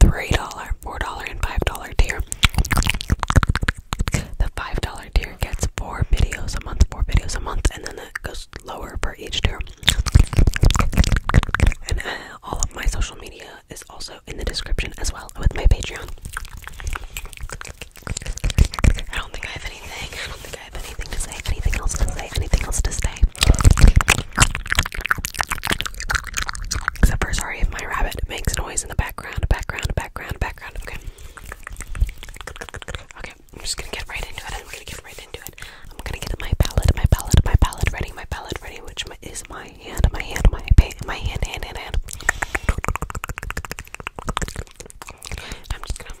$3, $4, and $5 tier. The $5 tier gets 4 videos a month, 4 videos a month, and then it goes lower for each tier. And uh, all of my social media is also in the description as well with my Patreon. I don't think I have anything. I don't think I have anything to say. Anything else to say? Anything else to say? Except for sorry if my rabbit makes noise in the background, background, background, background. Okay. Okay, I'm just gonna get right into it. I'm gonna get right into it. I'm gonna get my palette, my palette, my palette ready, my palette ready, which is my hand, my hand, my my hand, hand, hand, hand. I'm just gonna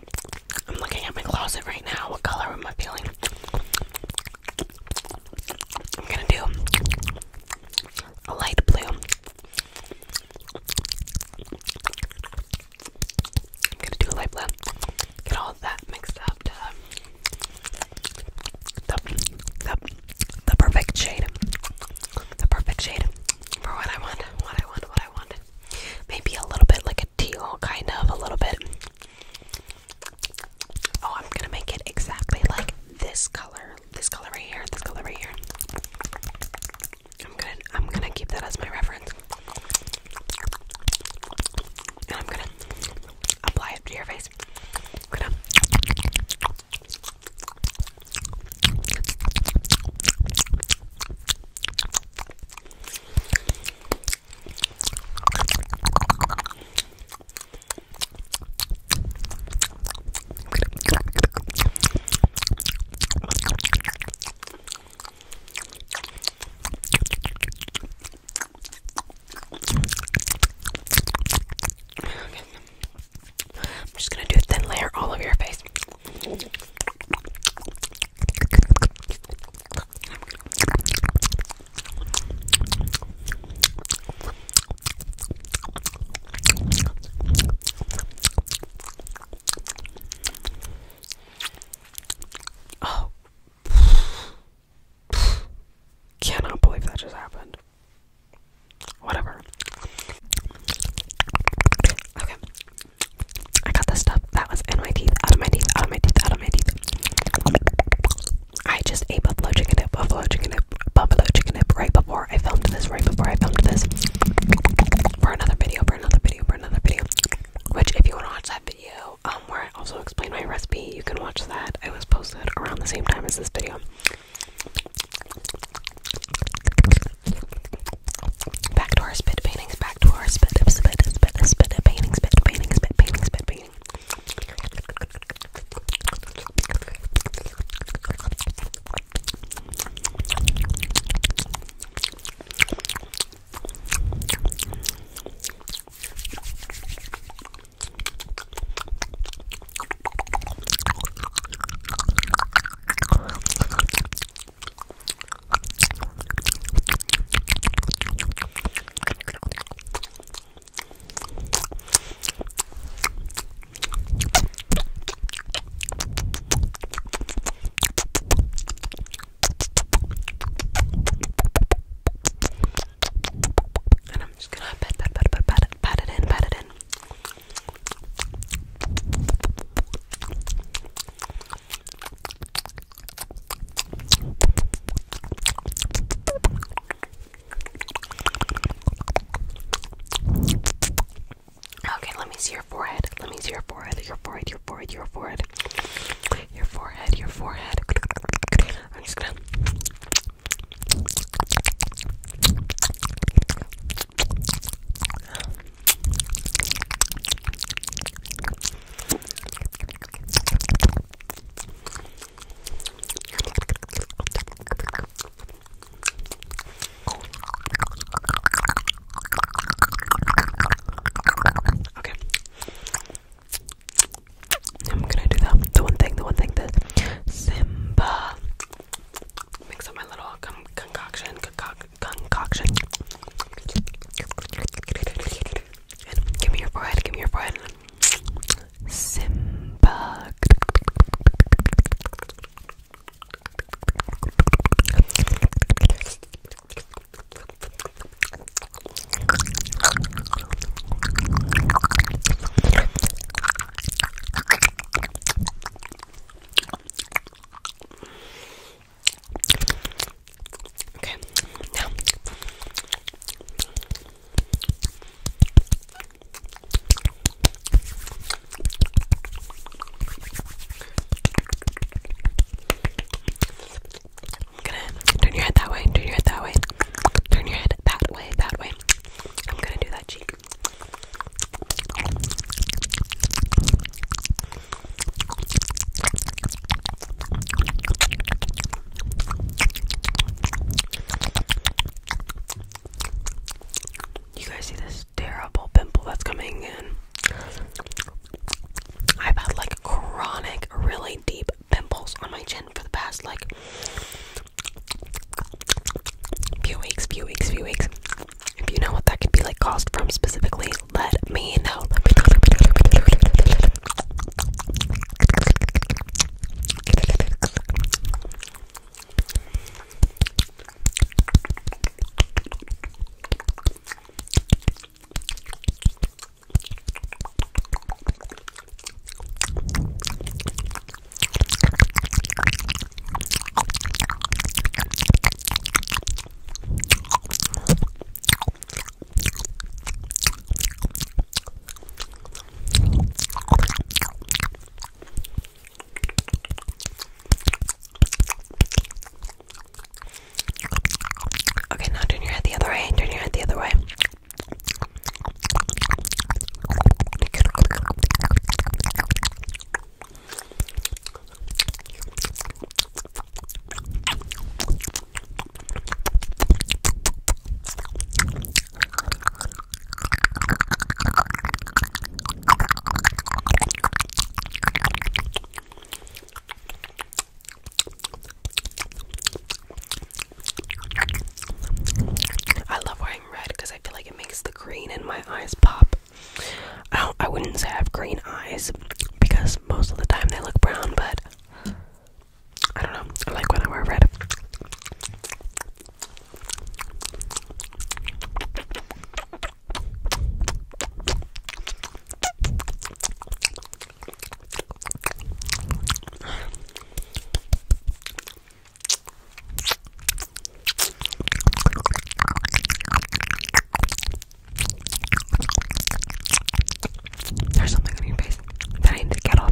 I'm looking at my closet right now. What color am I feeling? I'm gonna do a light blue. I'm gonna do a light blue. Get all of that mixed up the, the, the perfect shade. The perfect shade for what I want, what I want, what I want. Maybe a little bit like a teal, kind of, a little bit. Oh, I'm gonna make it exactly like this color. This color right here, this color right here. I'm gonna I'm gonna keep that as my reference. And I'm gonna apply it to your face. Okay. I'm just gonna do a thin layer all over your face. Oh. Cannot believe that just happened. Whatever. Okay. I got the stuff that was in my teeth, out of my teeth, out of my teeth, out of my teeth. I just ate buffalo chicken dip, buffalo chicken dip, buffalo chicken dip right before I filmed this, right before I filmed this. For another video, for another video, for another video. Which, if you want to watch that video, um, where I also explain my recipe, you can watch that. It was posted around the same time as this video. Back to our spit paintings, back to our spit, spit, spit, spit, spit painting, spit painting, spit painting, spit painting. And I'm just gonna pat, pat, pat, pat, pat, pat it in, pat it in. Okay, let me see your forehead. Let me see your forehead. Your forehead, your forehead, your forehead. Your forehead, your forehead. I'm just gonna Okay. I'm gonna do that. The one thing, the one thing, the Simba. Mix up my little con concoction, concoc concoction. give me your forehead, give me your forehead. Simba. Okay, now turn your head that way, turn your head that way, turn your head that way, that way. I'm gonna do that cheek. You guys see this terrible pimple that's coming in? I've had like chronic, really deep pimples on my chin for the past like few weeks, few weeks, few weeks. If you know what that could be like caused from specifically, let me know. Let me know. Okay, now turn your head the other way. Turn your head the other way. I love wearing red because I feel like it makes the green in my eyes pop. I, I wouldn't say I have green eyes because most of the time they look brown, but I don't know. I like when I wear red. There's something on your face that I need to get off.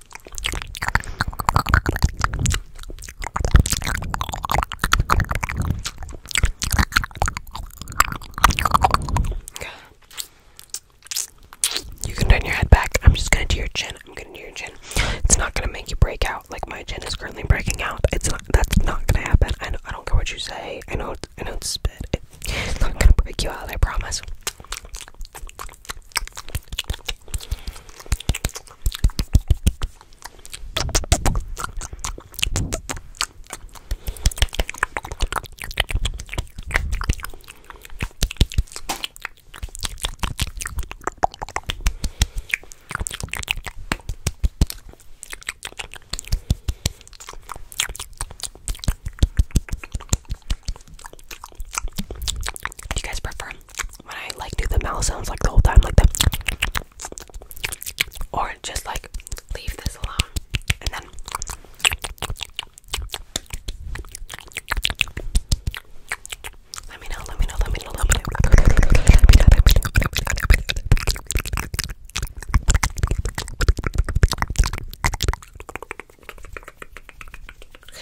You can turn your head back. I'm just gonna do your chin. I'm gonna do your chin. It's not gonna make you break out like my chin is currently breaking out. It's not. That's not gonna happen. I know, I don't care what you say. I know. I know it's spit. It's not gonna break you out. I promise. Do you guys prefer when I like do the mouth sounds like the whole time, like the or just like leave this alone and then let me know, let me know, let me know, let me know. Let me know, let me know,